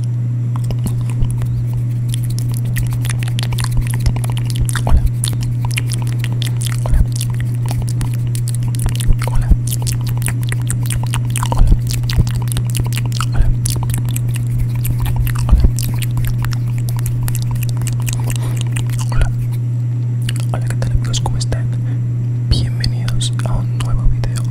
Hola. Hola. Hola. Hola. Hola. Hola. Hola. Hola, ¿qué tal amigos? ¿Cómo están? Bienvenidos a un nuevo video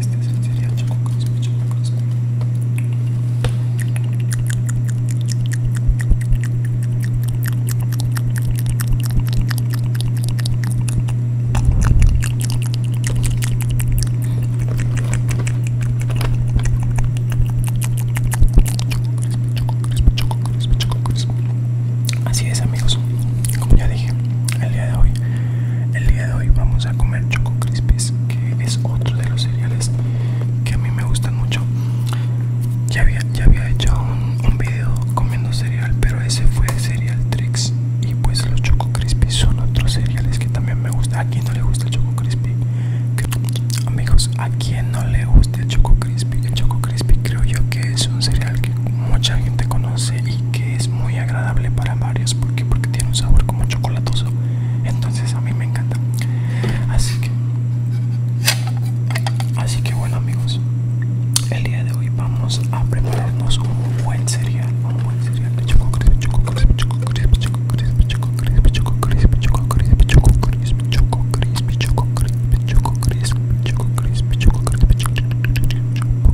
este es el Choco Así es amigos, como ya dije, el día de hoy el día de hoy vamos a comer Choco Crispies, que es otro de los cereales que a mí me gustan mucho. Ya había, ya había hecho un, vídeo comiendo cereal, pero ese fue Cereal Tricks. Y pues los Choco Crispies son otros cereales que también me gusta. ¿A quién no le gusta el Choco Crispy? Amigos, ¿a quién no le gusta el Choco Crispy? El Choco Crispy creo yo que es un cereal que mucha gente conoce que es muy agradable para varios porque porque tiene un sabor como chocolatoso entonces a mí me encanta así que así que bueno amigos el día de hoy vamos a prepararnos un buen cereal un buen cereal de choco crisp choco crisp choco crisp choco crisp choco crisp choco crisp choco crisp choco crisp choco crisp choco crisp choco crisp choco choco choco choco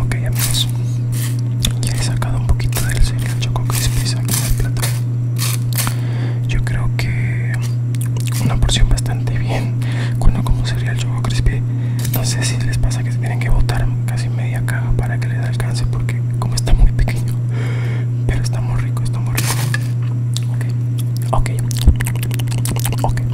Ok amigos, ya he sacado un poquito del cereal Choco Crispy, Yo creo que una porción bastante bien cuando como el Choco Crispy. No sé si les pasa que tienen que botar casi casi media caja para que les alcance porque como está muy pequeño pero está muy rico está muy rico okay okay okay okay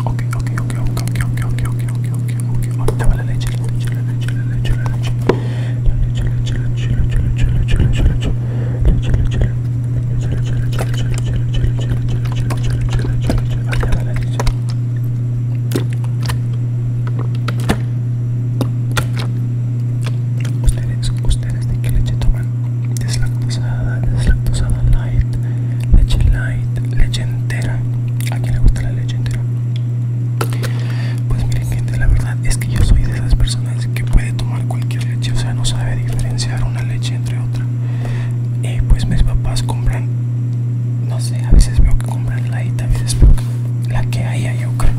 okay okay okay okay okay ok ok ok ok ahorita va la leche la leche la leche la leche la leche la leche la leche la leche la leche la leche la leche la leche leche leche Ustedes, ustedes de qué leche toman? Deslactosada, deslactosada light, leche light, leche entera. ¿A quién le gusta la leche entera? Pues miren gente, la verdad es que yo soy de esas personas que puede tomar cualquier leche, o sea, no sabe diferenciar una leche entre otra. Eh, pues mis papás compran, no sé, a veces me comprar compran la la que haya yo creo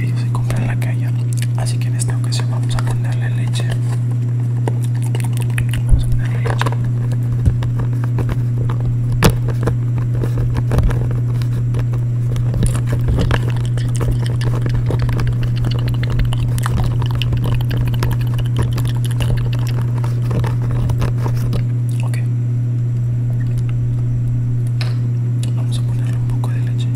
ellos se compran la que haya así que en esta ocasión vamos a ponerle leche vamos a ponerle leche ok Vamos a ponerle un poco de leche.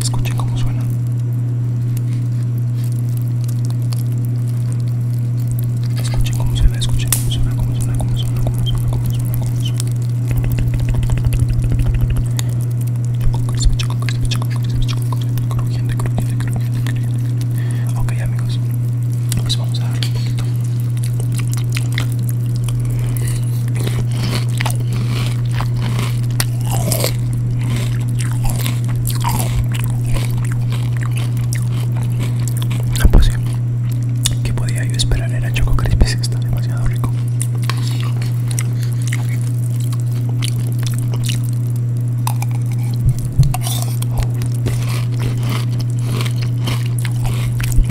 Escuchen cómo suena. Escuchen cómo suena, escuchen cómo suena, cómo suena, cómo suena, suena, suena, suena. Ok amigos, pues vamos a no, ah, pues ¿Qué podía yo esperar? Era Choco Crispies, está demasiado rico.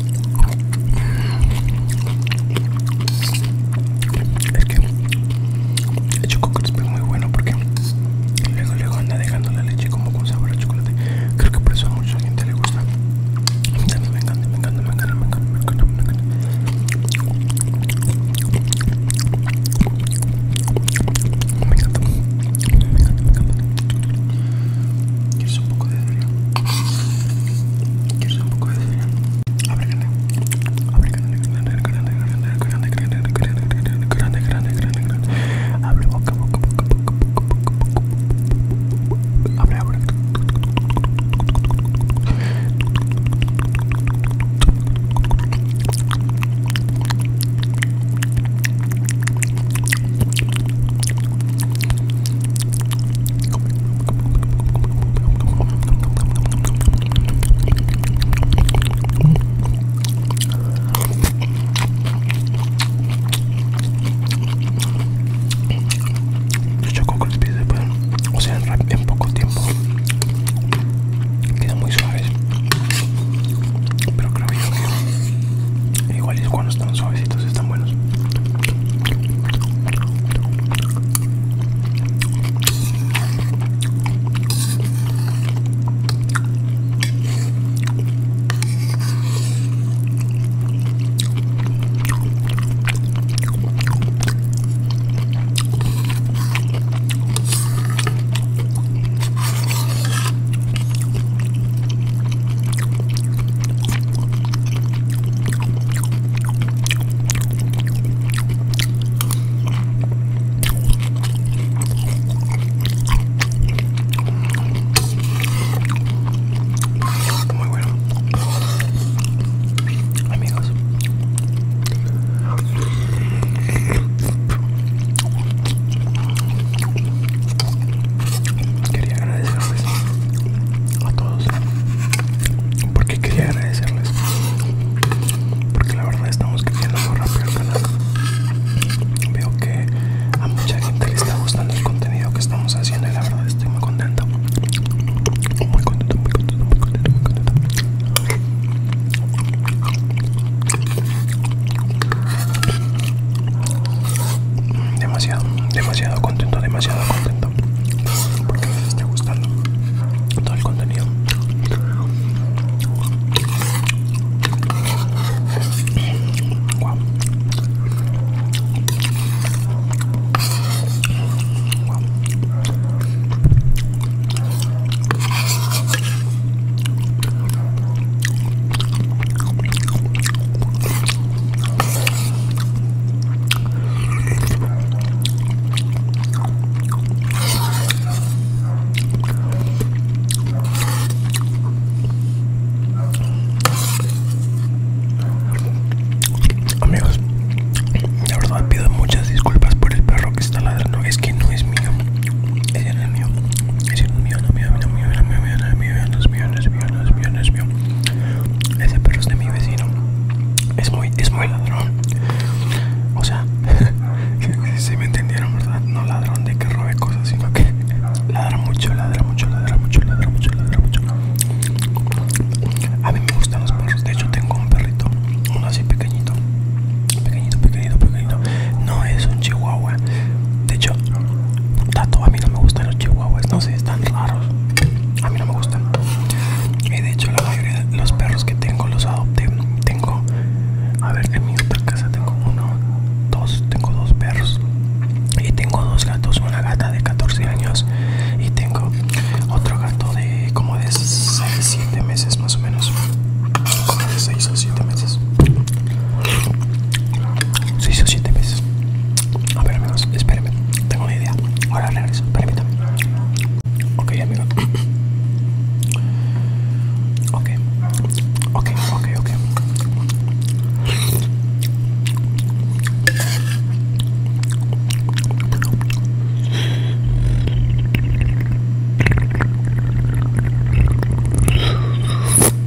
Es que el chocolate es muy bueno porque luego luego anda dejando la leche como con sabor a chocolate. Creo que por eso a mucha gente le gusta. me encanta, me encanta, me encanta, me encanta, me encanta. Me encanta, me encanta, me encanta. ¿Quieres un poco de cereal? un poco de Abre Abre, yo choco con el pie o sea, en, poco tiempo quedan muy suaves, pero creo que Igual es cuando están suavecitos, están buenos. Muy bueno, amigos. Quería agradecerles a todos. Porque quería agradecerles. Porque la verdad estamos creciendo muy rápido el canal. Veo que a mucha gente le está gustando el contenido que estamos haciendo y la verdad estoy muy contento. Muy contento, muy contento, muy contento, muy contento. Demasiado, demasiado contento, demasiado contento. Porque ME está gustando todo el contenido. Wow. Amigos, la verdad pido muchas disculpas por el perro que está ladrando, es que no es mío, ese no es mío no no no no no Ese perro es de mi vecino. Es muy, es muy ladrón. O sea, si me entendieron, ¿verdad? No ladrón de que robe cosas, sino que ladra mucho, ladra mucho, ladra mucho, ladra mucho, ladra mucho. A mí me gustan los perros. De hecho, tengo un perrito, uno así pequeñito, pequeñito, pequeñito, pequeñito no es un chihuahua. De hecho, tanto a mí no me gustan los chihuahuas. No sé, están raros. A mí no me gustan. Y de hecho, la mayoría los perros que tengo los adopté. Tengo, a ver, en mi otra casa tengo uno, dos, tengo dos perros. Y tengo dos gatos, una gata de 14 años y tengo otro gato de como de 6, 7 meses más o menos. de 6 o 7 meses. 6 o 7 meses A ver amigos, espérenme, tengo una idea. Ahora regreso, permítame. Ok amigos. Ok, ok, ok, ok. Ok,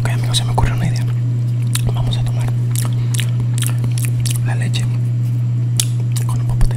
okay amigos, se me ocurre una idea. Vamos a tomar la leche con un popote.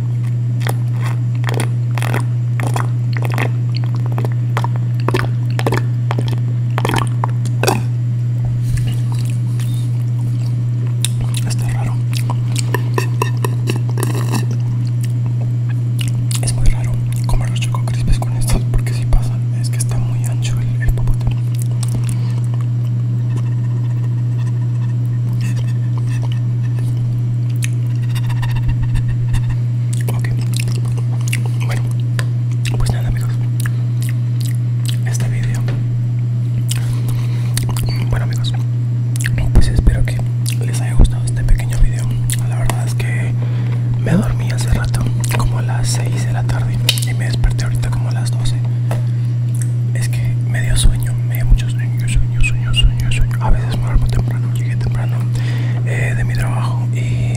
Está raro. Es muy raro comer los choco crispes con estos porque si pasan es que está muy ancho el, el popote. Ok. Bueno, pues nada amigos. Este video. Bueno amigos, pues espero que les haya gustado este pequeño video. La verdad es que me dormí hace rato, como a las 6 de la tarde, y me desperté ahorita como a las 12. Es que me dio sueño, me dio mucho sueño sueño, sueño, A veces me duermo temprano, llegué temprano eh, de mi trabajo y,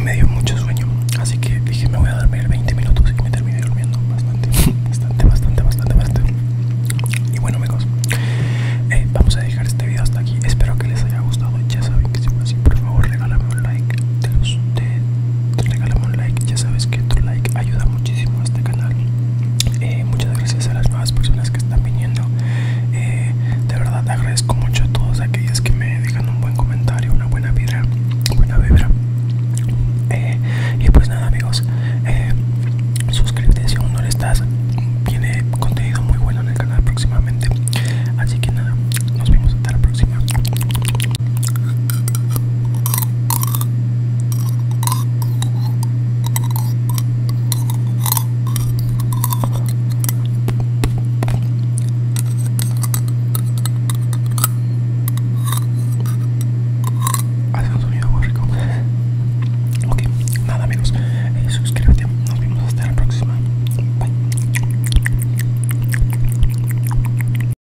me dio mucho sueño. Así que dije, me voy a dormir 20 minutos y me terminé durmiendo bastante, bastante, bastante, bastante, bastante. Y bueno, amigos, eh, vamos a dejar este video hasta aquí. Espero que les haya gustado. Ya saben que si así, por favor, regálame un like. Te los, regálame un like. Ya sabes que tu like ayuda muchísimo a este canal. Eh, muchas gracias a las nuevas personas que están viniendo. Eh, de verdad agradezco mucho a todos aquellos que me dejan un buen comentario, una buena vibra, buena vibra. Eh, y pues nada amigos, suscríbete si aún no lo estás. Viene contenido muy bueno en el canal próximamente. Así que nada, nos vemos hasta la próxima. Hace un sonido muy rico. Ok, nada amigos. Eh, suscríbete. Nos vemos hasta la próxima. Bye.